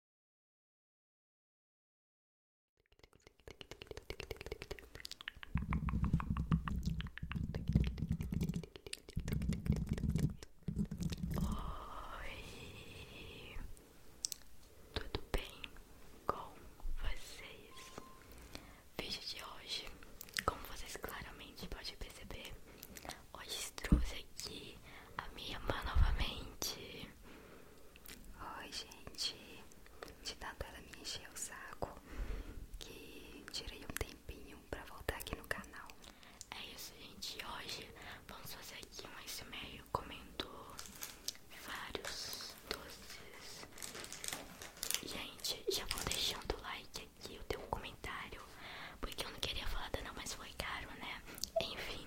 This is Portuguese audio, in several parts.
Oi, tudo bem com vocês? Vídeo de hoje, como vocês claramente podem perceber, hoje trouxe aqui a minha irmã novamente. Oi, gente. De tanto ela me encher o saco que tirei um tempinho pra voltar aqui no canal. É isso, gente. Hoje vamos fazer aqui mais e-mail comendo vários doces. Gente, já vou deixando o like aqui, o teu comentário. Porque eu não queria falar da não, mas foi caro, né? Enfim,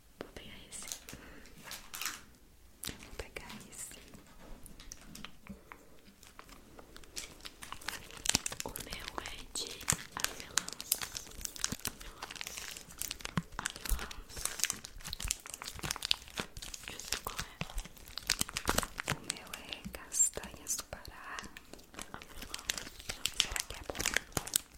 Vou pegar esse. Vou pegar esse. O meu é de avelã. Avelã. Avelã. Eu sei qual é. O meu é castanhas do Pará. Avelã. Será que é bom?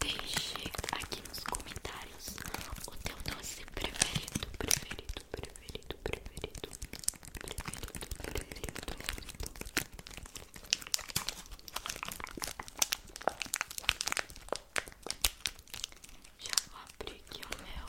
Deixe aqui nos comentários o teu doce preferido, preferido, preferido, preferido, preferido, preferido. preferido Já abri aqui o meu.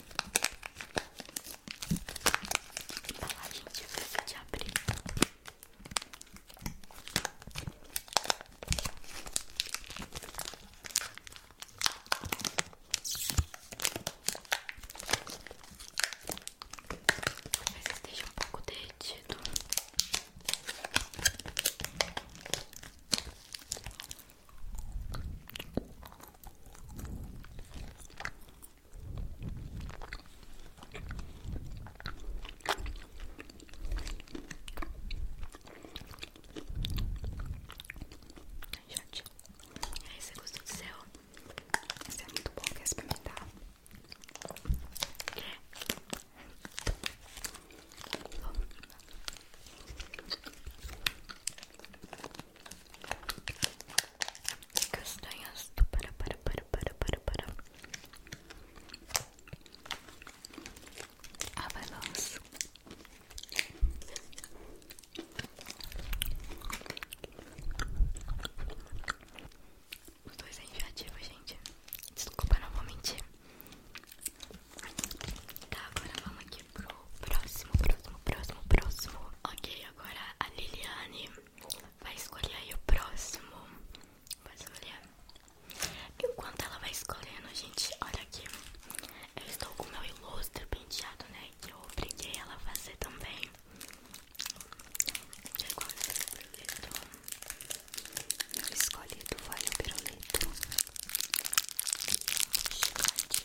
Embalagem difícil de abrir. Talvez esteja um pouco derretido. Gente, e aí você gostou do seu? Esse é muito bom, quer experimentar? que castanhas do para para para para para para avalanche ah, os dois é enjoativo, gente. Desculpa, não vou mentir. Tá, agora vamos aqui pro próximo, próximo, próximo, próximo. Ok, agora a Liliane vai escolher aí o próximo. Vai escolher. Enquanto ela vai escolhendo, gente, olha aqui. Eu estou com meu ilustre penteado, né? Que eu obriguei ela a fazer também. E agora eu é escolhi do vale o pirulito. Chegante.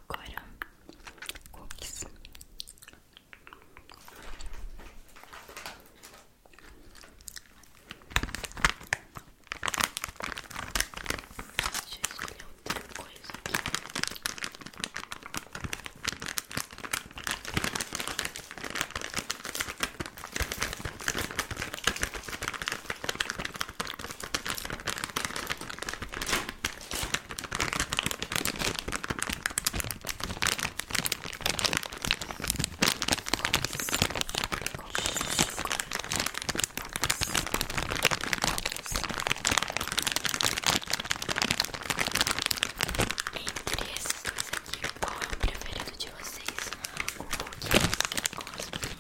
agora cookies. Deixa escolher outra coisa aqui. Entre essas coisas aqui, qual é o preferido de vocês? O que é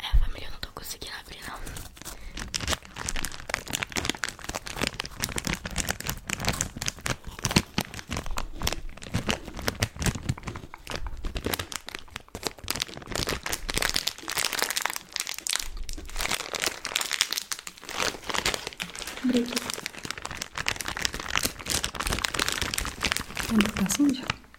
É, família, eu não estou conseguindo abrir, não. Obrigada. Tem um pouco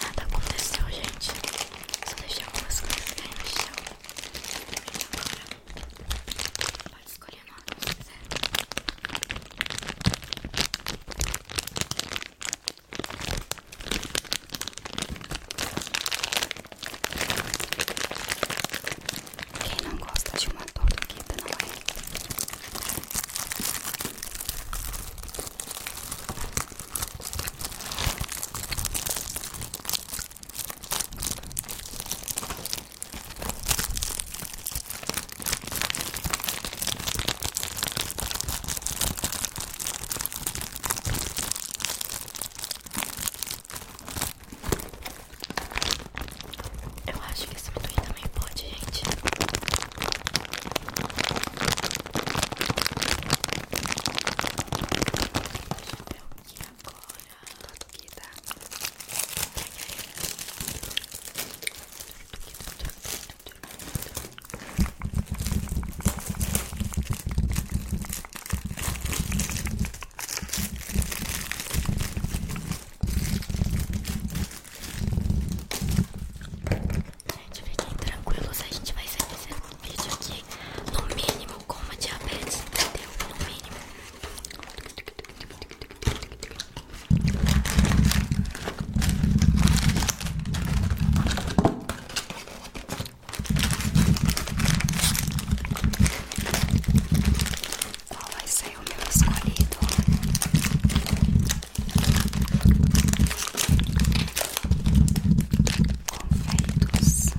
Nada aconteceu, gente. Só deixei algumas coisas cair no chão. Pode escolher o Quem não gosta de uma tortuguita, não é? Eu acho que esse amendoim também pode, gente. Deixa eu ver o que é agora. Tudo aqui, tá? Gente, fiquem tranquilos, a gente vai sair desse vídeo aqui no mínimo com uma diabetes, entendeu? No mínimo. Qual vai ser o meu escolhido? Confeitos. Confeitos.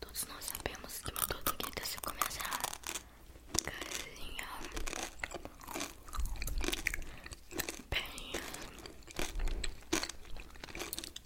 Todos nós sabemos que uma torta grita se começa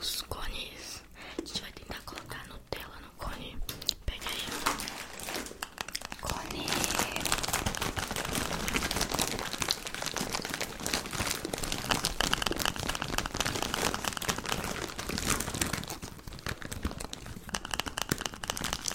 Os cones. A gente vai tentar colocar Nutella no cone. Pega aí. Cone.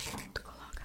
Junto, coloca.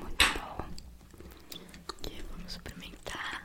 Muito bom. E vamos suplementar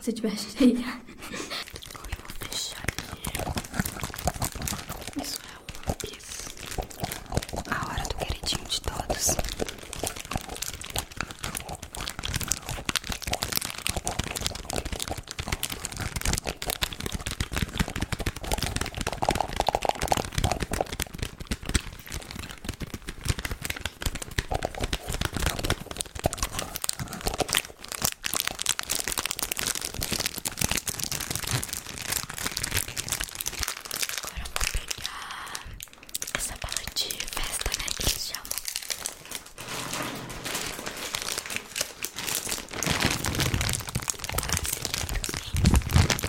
Se tiver cheia, eu vou fechar Isso é uma pizza. A hora do queridinho de todos. Agora vou pegar essa bala de festa, né? Que eles chamam. Quase que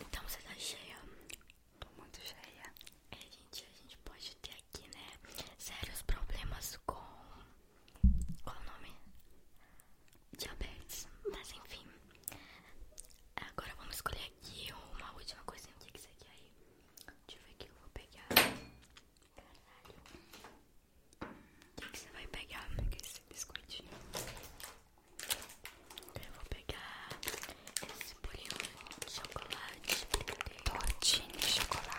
Então você tá cheia? Tô muito cheia. É, gente, a gente pode ter aqui, né? Sérios problemas com. Qual o nome? Diabetes. Mas enfim. Agora vamos escolher aqui uma última coisinha. O que que isso aqui aí? Deixa eu ver aqui, eu vou pegar. Caralho. O que que você vai pegar? Esse biscoitinho. Eu vou pegar esse bolinho de chocolate. Tortinho de chocolate.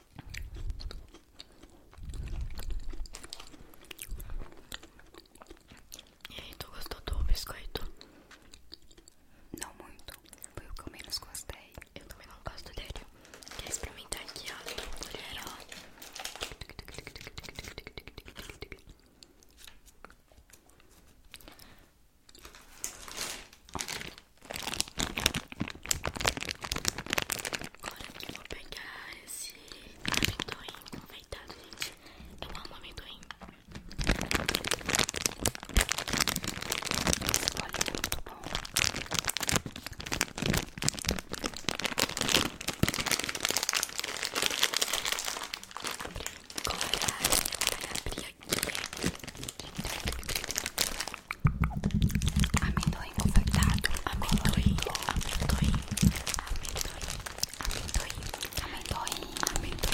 E aí, tu gostou do biscoito? Não muito, foi o que eu menos gostei. Eu também não gosto dele. Quer experimentar aqui, ó? Colher, ó. Agora eu vou pegar esse amendoim confeitado, gente. Eu amo amendoim. Olha, é muito bom. Agora eu vou abrir aqui. Amendoim confeitado, amendoim, amendoim, amendoim, amendoim, amendoim, amendoim, amendoim. Abri pra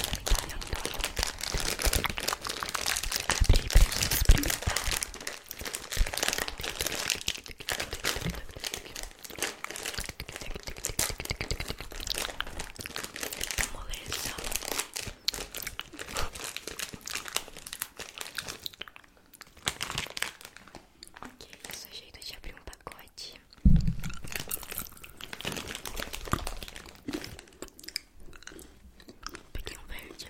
gente experimentar. Moleza. Ok, é o jeito de abrir um pacote. Peguei um verde.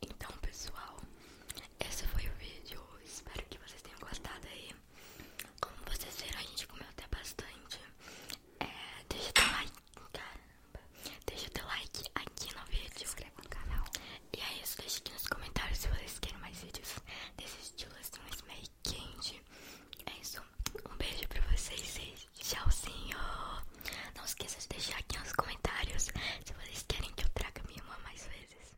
Então, pessoal, esse foi o vídeo. Espero que vocês tenham gostado aí. Como vocês viram, a gente comeu até bastante. É, deixa o like, Deixa o teu like aqui no vídeo. Se inscreva no canal. E é isso, deixa aqui nos comentários se vocês querem mais vídeos desse estilo assim, mas meio quente. É isso, um beijo pra vocês e tchauzinho. Não esqueça de deixar aqui nos comentários se vocês querem que eu traga minha irmã mais vezes.